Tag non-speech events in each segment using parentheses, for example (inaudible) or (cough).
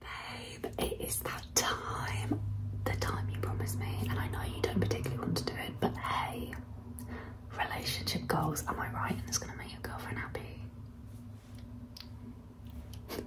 Babe, it is that time. The time you promised me, and I know you don't particularly want to do it, but hey, relationship goals, am I right? And it's gonna make your girlfriend happy. (laughs)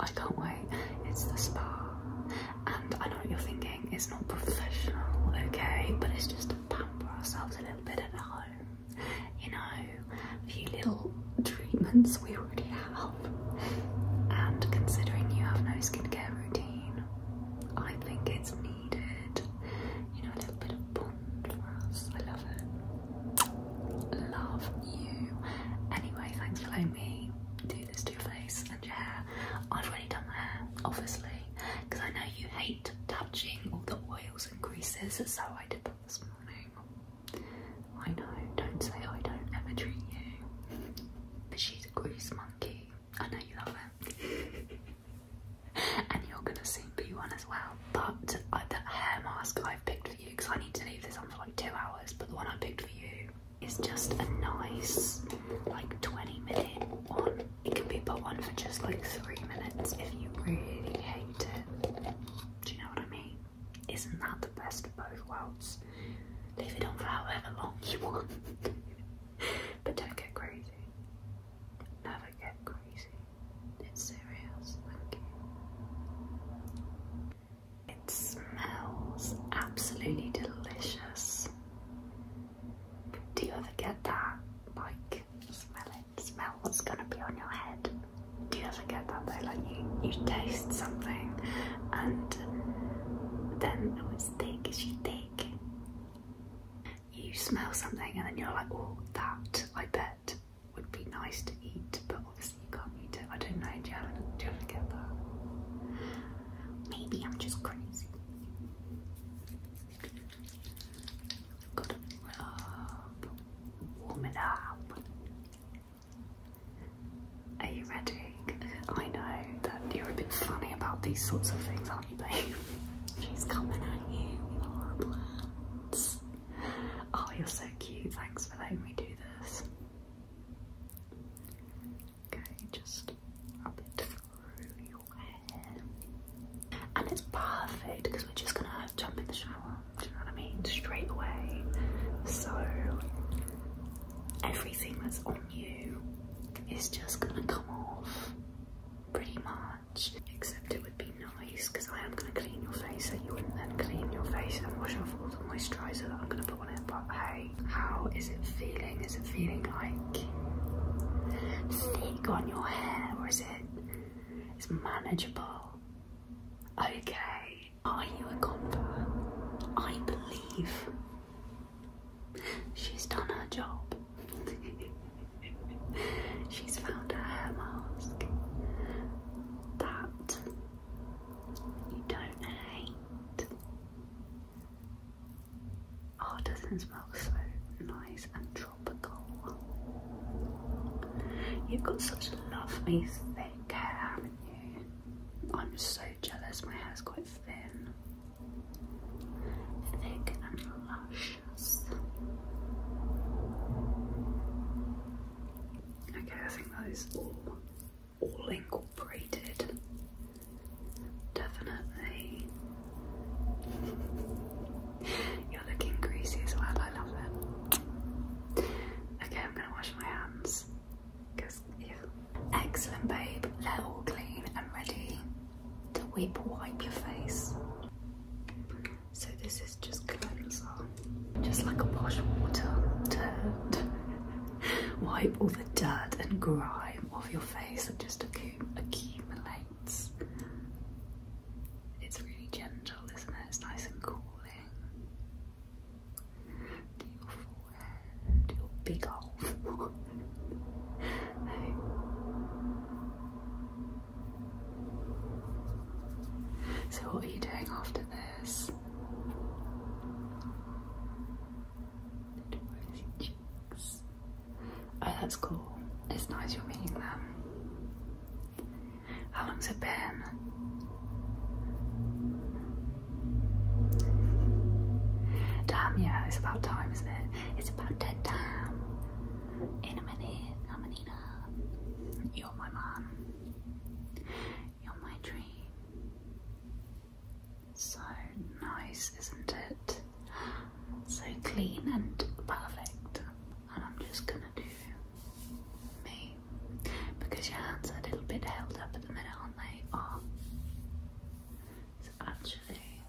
I can't wait. It's the spa. And I know what you're thinking, it's not professional, okay? But it's just to pamper ourselves a little bit at home. You know, a few little treatments we already have. And considering you have no skincare routine, I think it's needed. You know, a little bit of bond for us. I love it. Love you. Anyway, thanks for letting me do this to your face and your hair. I've already done my hair, obviously, because I know you hate touching all the oils and greases, so I did that this morning. I know, don't say I don't ever treat you. But she's a grease monkey. I know you love her, (laughs) and you're gonna soon be one as well. But uh, that hair mask I've picked for you, because I need to leave this on for like two hours, but the one I picked for you is just a nice, like 20 minute one. It can be put on for just like three minutes if you really hate it. Do you know what I mean? Isn't that the best of both worlds? Leave it on for however long you want. (laughs) but don't get crazy. Never get crazy. It's serious, It smells absolutely delicious. Do you ever get that? Like, smell it? smell what's gonna be on your head. Do you ever get that though? Like you, you taste something and then oh it's thick, it's you think, You smell something and then you're like, oh that I bet would be nice to eat, but obviously you can't eat it. I don't know, do you ever, do you ever get that? Maybe I'm just crazy. Gotta warm it up, are you ready? I know that you're a bit funny about these sorts of things, aren't you, babe? She's coming at you with Oh, you're so cute. Thanks for letting me do this. Okay, just rub it through your hair. And it's perfect because we're just gonna jump in the shower, you know what I mean? Straight away. So everything that's on you is just gonna come off pretty much. Except it would be nice because I am gonna clean your face and so you wouldn't then clean your face and wash off all the moisturizer that I'm gonna put on it. But hey, how is it feeling? Is it feeling like stick on your hair or is it it's manageable? Okay, are you a convert? I believe she's done her job. (laughs) she's found her hair mask that you don't hate. Oh, doesn't smell so nice and dry? You've got such lovely thick hair, haven't you? I'm so jealous, my hair's quite thin. Thick and luscious. Okay, I think that is all, all incorporated. Definitely. You're looking greasy as well, I love it. Okay, I'm gonna wash my hands. Cause ew. Excellent babe, they clean and ready to whip wipe your face. So this is just cleanser. Just like a wash water to wipe all the dirt and grime off your face that just accumulates. It's really gentle isn't it? It's nice and cooling. To your forehead, your big old (laughs) So, what are you doing after this? Cheeks. Oh, that's cool. It's nice you're meeting them. How long's it been? Damn, yeah, it's about time, isn't it? It's about dead time. In a minute, I'm a You're my mom. You're my dream. So nice, isn't it? So clean and perfect and I'm just gonna do me because your hands are a little bit held up at the minute, aren't they? Are it's actually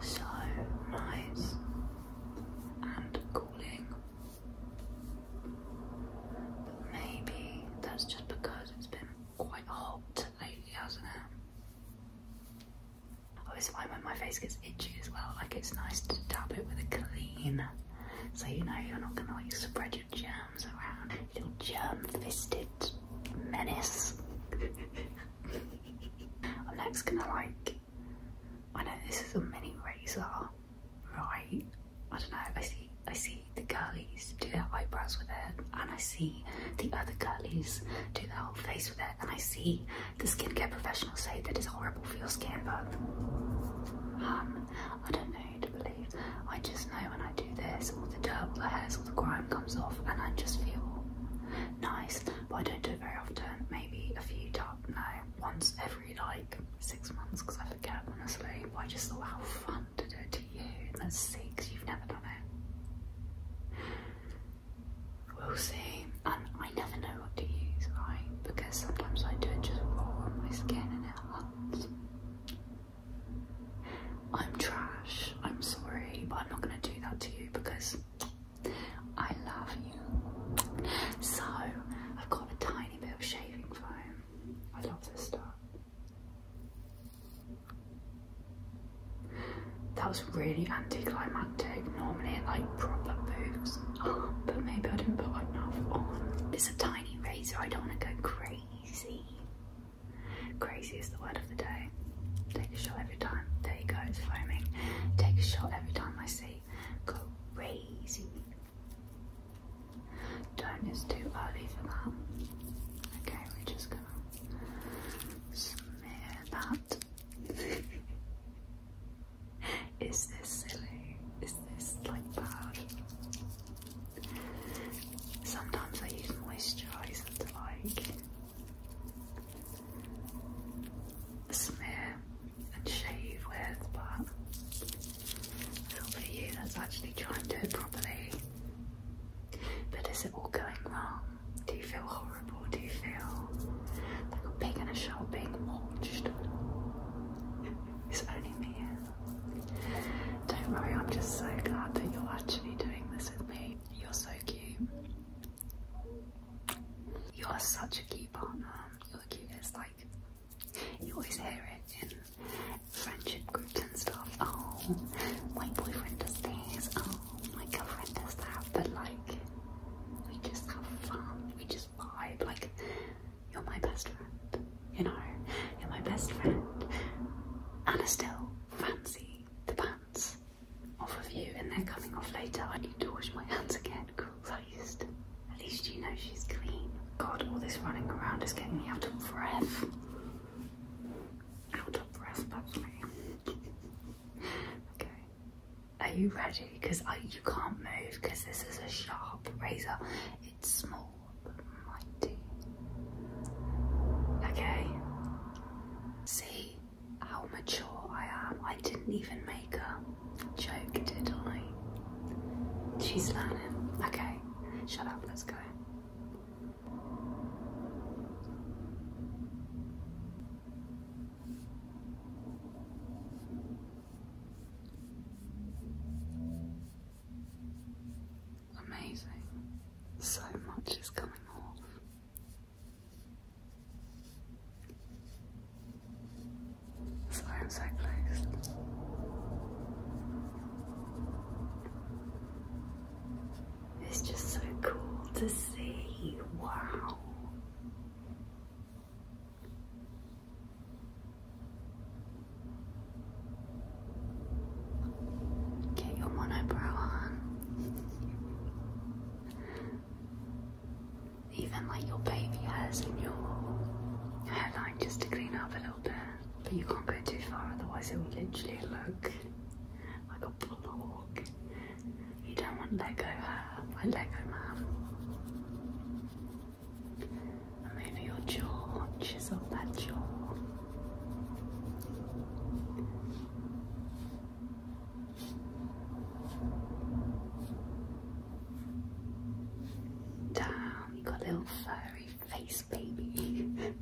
so nice and cooling, but maybe that's just because it's been quite hot lately, hasn't it? Oh, I always find when my face gets itchy as well, like it's nice to dab it with a clean, so you know you're not gonna like spread your germs around, little germ-fisted menace. (laughs) I'm next gonna like, I know this is a mini razor, right? I don't know. I see, I see the girlies do their eyebrows with it, and I see the other girlies do the whole face with it, and I see the skincare professionals say that it's horrible for your skin, but um, I don't know who to believe. I just know when I do this, all the dirt, all the hairs, all the grime comes off, and I just feel nice. But I don't do it very often. Maybe a few times, no, once every like six months, because I forget when honestly. But I just thought, how fun to do it to you. And see because you You've never done it. We'll see. And um, I never know what to use, right? Because sometimes I do it just raw on my skin and it hurts. I'm trash. I'm sorry, but I'm not gonna do that to you because I love you. So I've got a tiny bit of shaving foam. I love this stuff. That was really anticlimactic. Normally it like proper moves. (gasps) but maybe I didn't put enough on. It's a tiny razor, I don't want to go crazy. Crazy is the word of the day. Take a shot every time. There you go, it's foaming. Take a shot every time I see. go crazy. Don't, it's too early for that. Okay, we're just gonna that is this silly? Is this like bad? Sometimes I use moisturiser to like smear and shave with, but I thought actually trying to do it properly. But is it all going wrong? Do you feel horrible? Do you feel like a pig in a shell being mulched? It's only me. Don't worry, I'm just so glad that you're actually doing this with me. You're so cute. You are such a cute partner. You're the cutest. Like you always hear it in friendship groups and stuff. Oh, my boyfriend does this. Oh, my girlfriend does that. But like, we just have fun. We just vibe. Like, you're my best friend. You know, you're my best friend. And I still fancy the pants off of you, and then coming off later. I need to wash my hands again. Christ. At least you know she's clean. God, all this running around is getting me out of breath. How depressed that's me. okay. Are you ready? Because you can't move because this is a sharp razor. It's small but mighty. Okay. See how mature I am. I didn't even make a joke, did I? She's learning. Okay. Shut up. Let's go. Amazing. So much is coming off. So I'm so close. It's just so cool to see. Wow. Get your monobrow on. Even like your baby hairs and your hairline just to clean up a little bit. But you can't go too far, otherwise it will literally look like a block. You don't want Lego hair, like Lego man. And your jaw, chisel that jaw. Down, you got a little furry face baby. (laughs)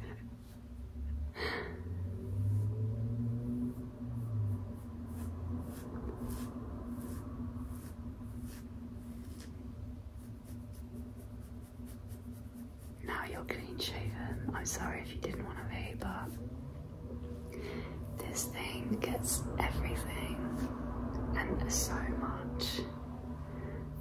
Now you're clean shaven. I'm sorry if you didn't want to be, but this thing gets everything and so much.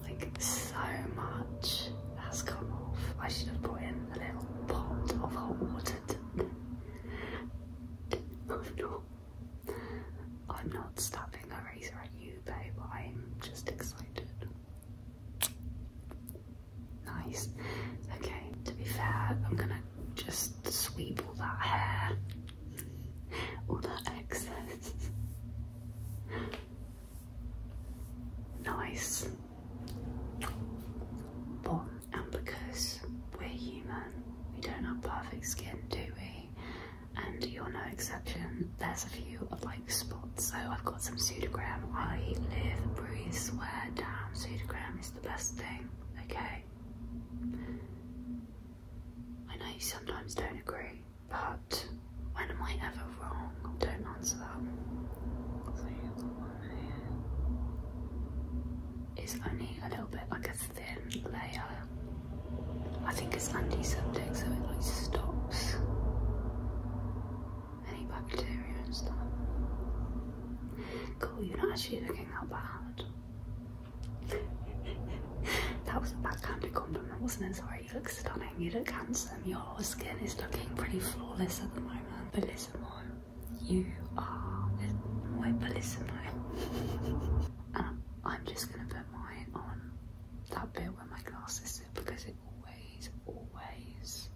Like so much has come off. I should have put in a little pot of hot water to (laughs) I'm not. I'm not stabbing a razor at you, babe. I'm just excited. Nice. Okay, to be fair, I'm gonna just sweep all that hair, all that excess nice. Bon, and because we're human, we don't have perfect skin, do we? And you're no exception. There's a few like spots, so I've got some pseudogram. I live, breathe, swear down. Pseudogram is the best thing, okay? I know you sometimes don't agree. But when am I ever wrong? Don't answer that. So the one only a little bit like a thin layer. I think it's antiseptic, so it like stops any bacteria and stuff. Cool, you're not actually looking that bad. (laughs) that was a bad, backhanded compliment, wasn't it? Sorry you look stunning, you look handsome, your skin is looking pretty flawless at the moment. Bellissimo, you are my bellissimo. (laughs) I'm just gonna put mine on that bit where my glasses sit because it always, always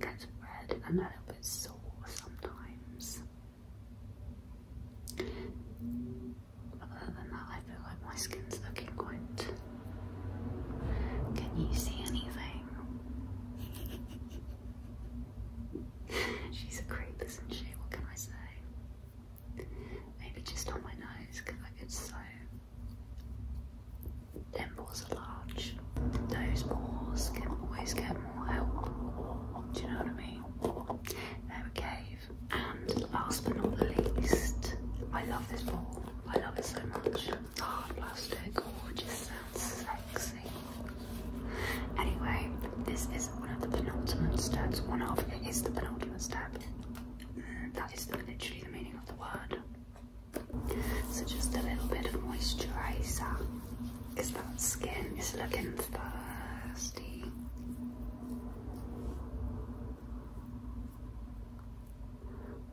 gets red and a little bit sore sometimes. Other than that, I feel like my skin's looking quite. Can you see anything? (laughs) She's a creep, isn't she? What can I say? Maybe just on my nose, because I get so. Them are large. Those paws can always get more help. Do you know what I mean? They're okay. And last but not least, I love this ball. I love it so much. Hard plastic, oh, it just sounds sexy. Anyway, this is not one of the penultimate steps. One of it is the penultimate step. Mm, that is literally the meaning of the word. So just a little bit of moisturizer. Is that skin is looking thirsty.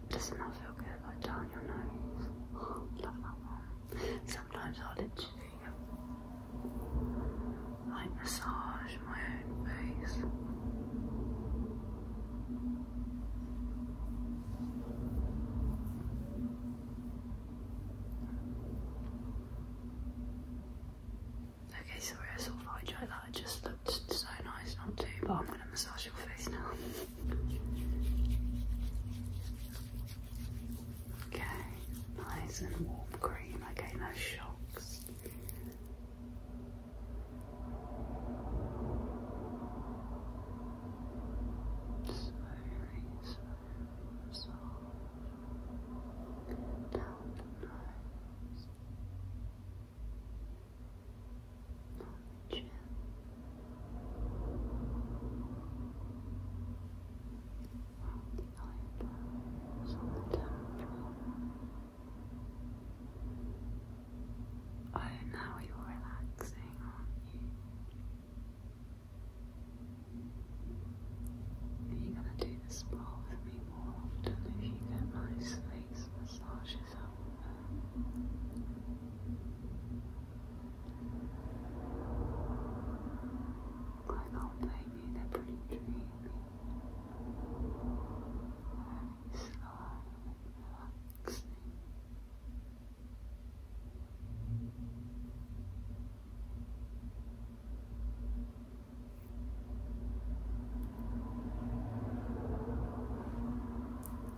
Doesn't that feel good? Like down your nose. love that one. Sometimes I'll literally like massage my own face. Okay, sorry, I saw of hijacked that. It just looked so nice not too. but I'm gonna massage your face now. Okay, nice and warm cream. Okay, no shocks. Slowly, slowly on Oh, now you're relaxing, aren't you? Are you gonna do the spa with me more often if you get nice face massages I can't they're pretty dreamy. slow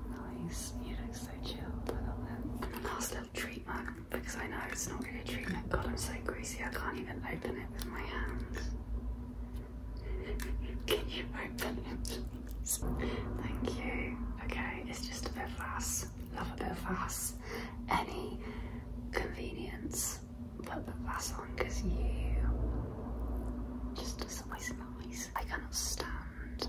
Nice, you so chilled, I Last little treatment, because I know it's not really a treatment. God, I'm so greasy, I can't even open it with my hands. (laughs) Can you open it? Thank you. Okay, it's just a bit fast. Love a bit fast. Any convenience put that last on you just doesn't waste I cannot stand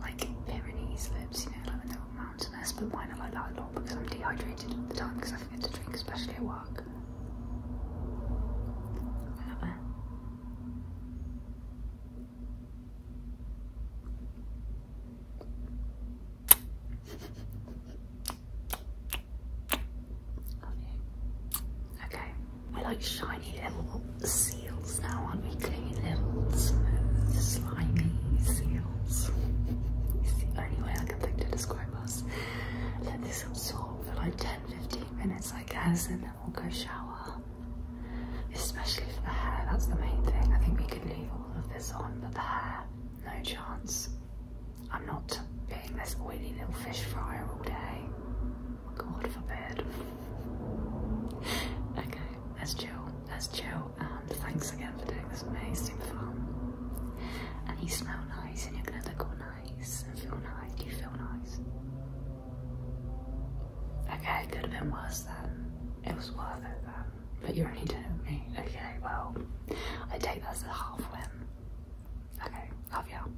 like Pyrenees lips, you know, like when they're all mountainous, but mine are like that a lot because I'm dehydrated all the time because I forget to drink, especially at work. I Okay, we like shiny little seals now, aren't we? Clean little smooth, slimy seals. It's the only way I can think to describe us. Let this absorb for like 10-15 minutes, I guess, and then we'll go shower. Especially for the hair, that's the main thing. I think we could leave all of this on, but the hair, no chance. I'm not being this oily little fish fryer all day. God forbid. okay, let's chill. let And um, thanks again for doing this amazing fun. And you smell nice, and you're gonna look nice and feel nice. Do feel nice? Okay, could have been worse then. It was worth it but you already did it with me. Okay, well, I take that as a half win. Okay, love you.